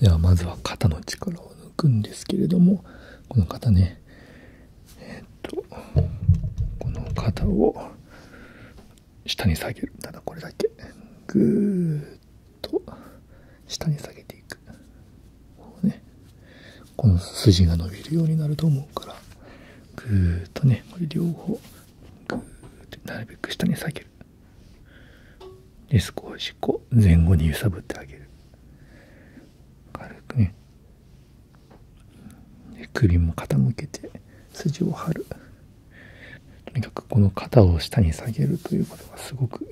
ではまずは肩の力を抜くんですけれどもこの肩ねえっとこの肩を下に下げるただこれだけぐーっと下に下げていくこ,、ね、この筋が伸びるようになると思うからぐーっとねこれ両方グーってなるべく下に下げるで少しこう前後に揺さぶってあげる軽くねで首も傾けて筋を張るとにかくこの肩を下に下げるということがすごく効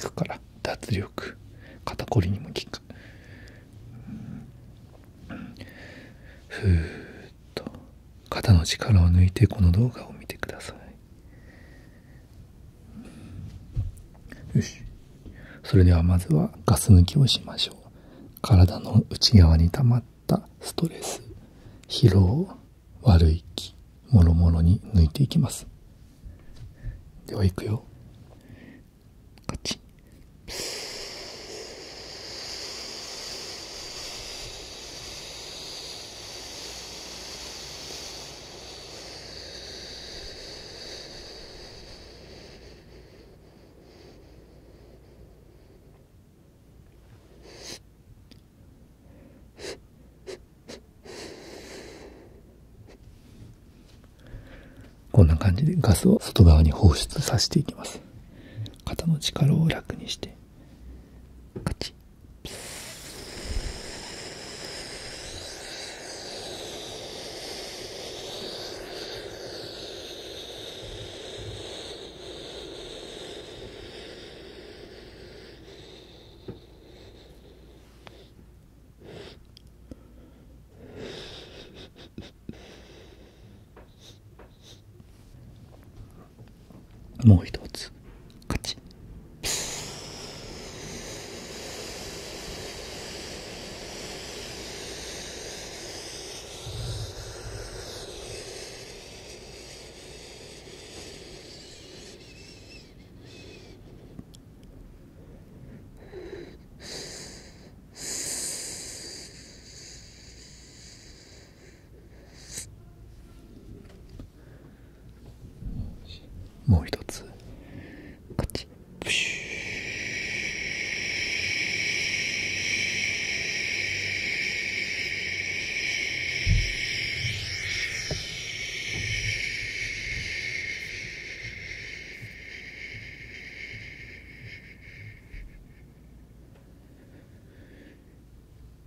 くから脱力肩こりにも効くふーっと肩の力を抜いてこの動画を見てくださいよしそれではまずはガス抜きをしましょう体の内側に溜まったストレス疲労悪い気もろもろに抜いていきますではいくよカチこんな感じでガスを外側に放出させていきます。肩の力を楽にしてカチッもう一つカチもう一つカチップシュ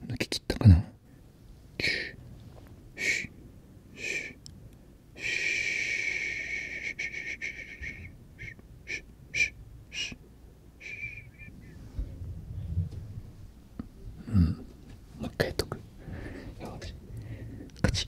抜き切ったかなうんもう一回やっとくよしカチ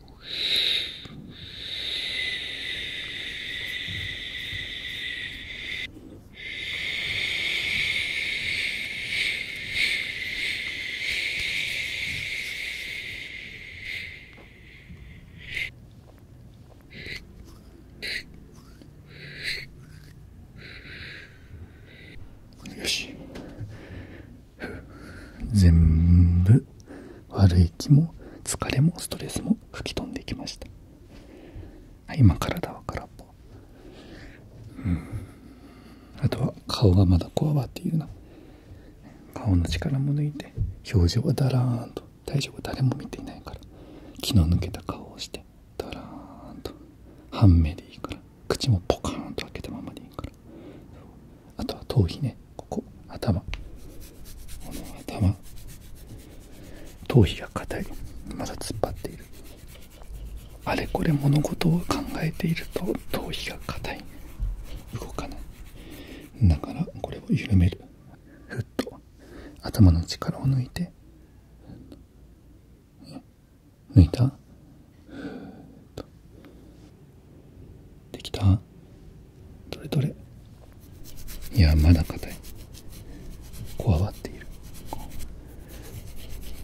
全部悪い気も疲れもストレスも吹き飛んでいきました、今体は空っぽ、うん、あとは顔がまだこわばっていうな顔の力も抜いて表情はだらーんと体調が誰も見ていないから気の抜けた顔をしてだらーんと半目でいいから口もポカーンと開けたままでいいからあとは頭皮ねここ頭この頭頭皮が硬いまだ突っ張っているあれこれ物事を考えていると頭皮が硬い動かないだからこれを緩めるふっと頭の力を抜いて抜いたできたどれどれいやまだ硬いこわばっている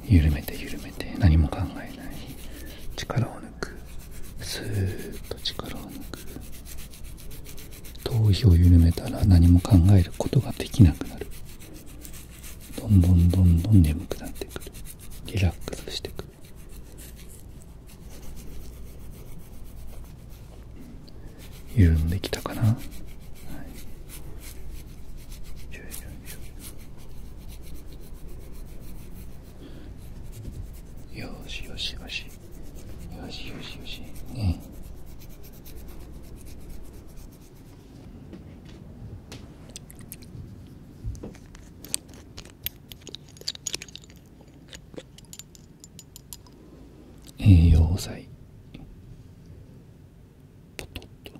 緩めて緩めて何も考えない力を抜くスーッと力を抜く頭皮を緩めたら何も考えることができなくなるどんどんどんどん眠くなってくるリラックスしてくる緩んできたかな、はい、よしよしよしよしよしよしね栄養剤ポトッとポトッと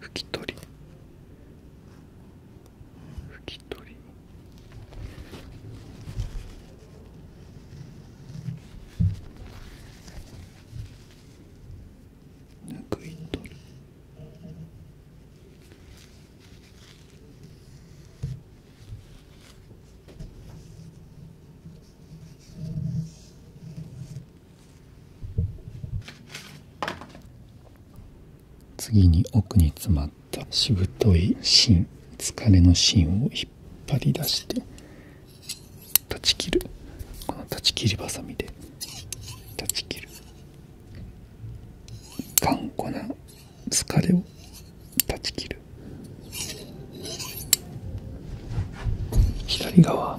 拭き取り拭き取り拭い取る次に奥に詰まったしぶとい芯疲れの芯を引っ張引っ張り出して断ち切この断ち切りばさみで断ち切る頑固な疲れを断ち切る左側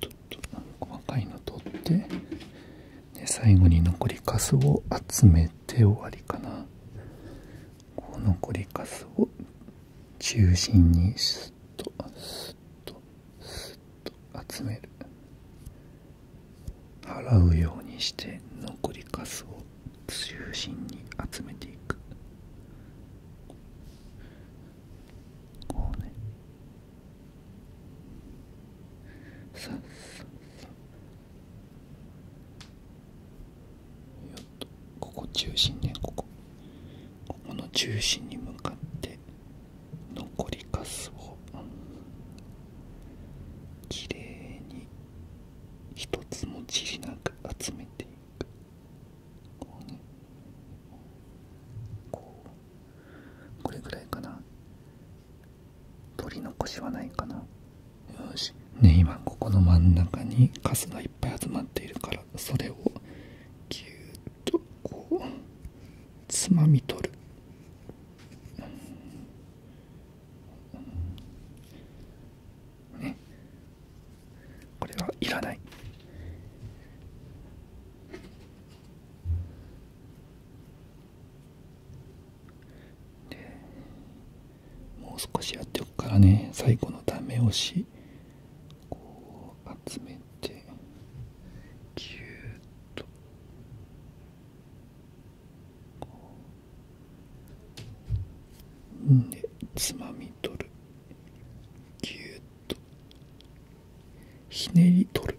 ちょっと細か若いの取ってで最後に残りかすを集めて終わりかなこう残りかすを中心にスッとスッとスッと集める払うようにして残りかすを中心に集めていくここ中心ねここここの中心に向かって残りかすをきれいに一つもじりなく集めていこうねこうこれぐらいかな取り残しはないかなよしね今ここの真ん中にカスがいっぱい集まっているからそれをギューッとこうつまみ取るねこれはいらないでもう少しやっておくからね最後のダメ押しこう集めてぎゅーっとこうねつまみ取るぎゅっとひねり取る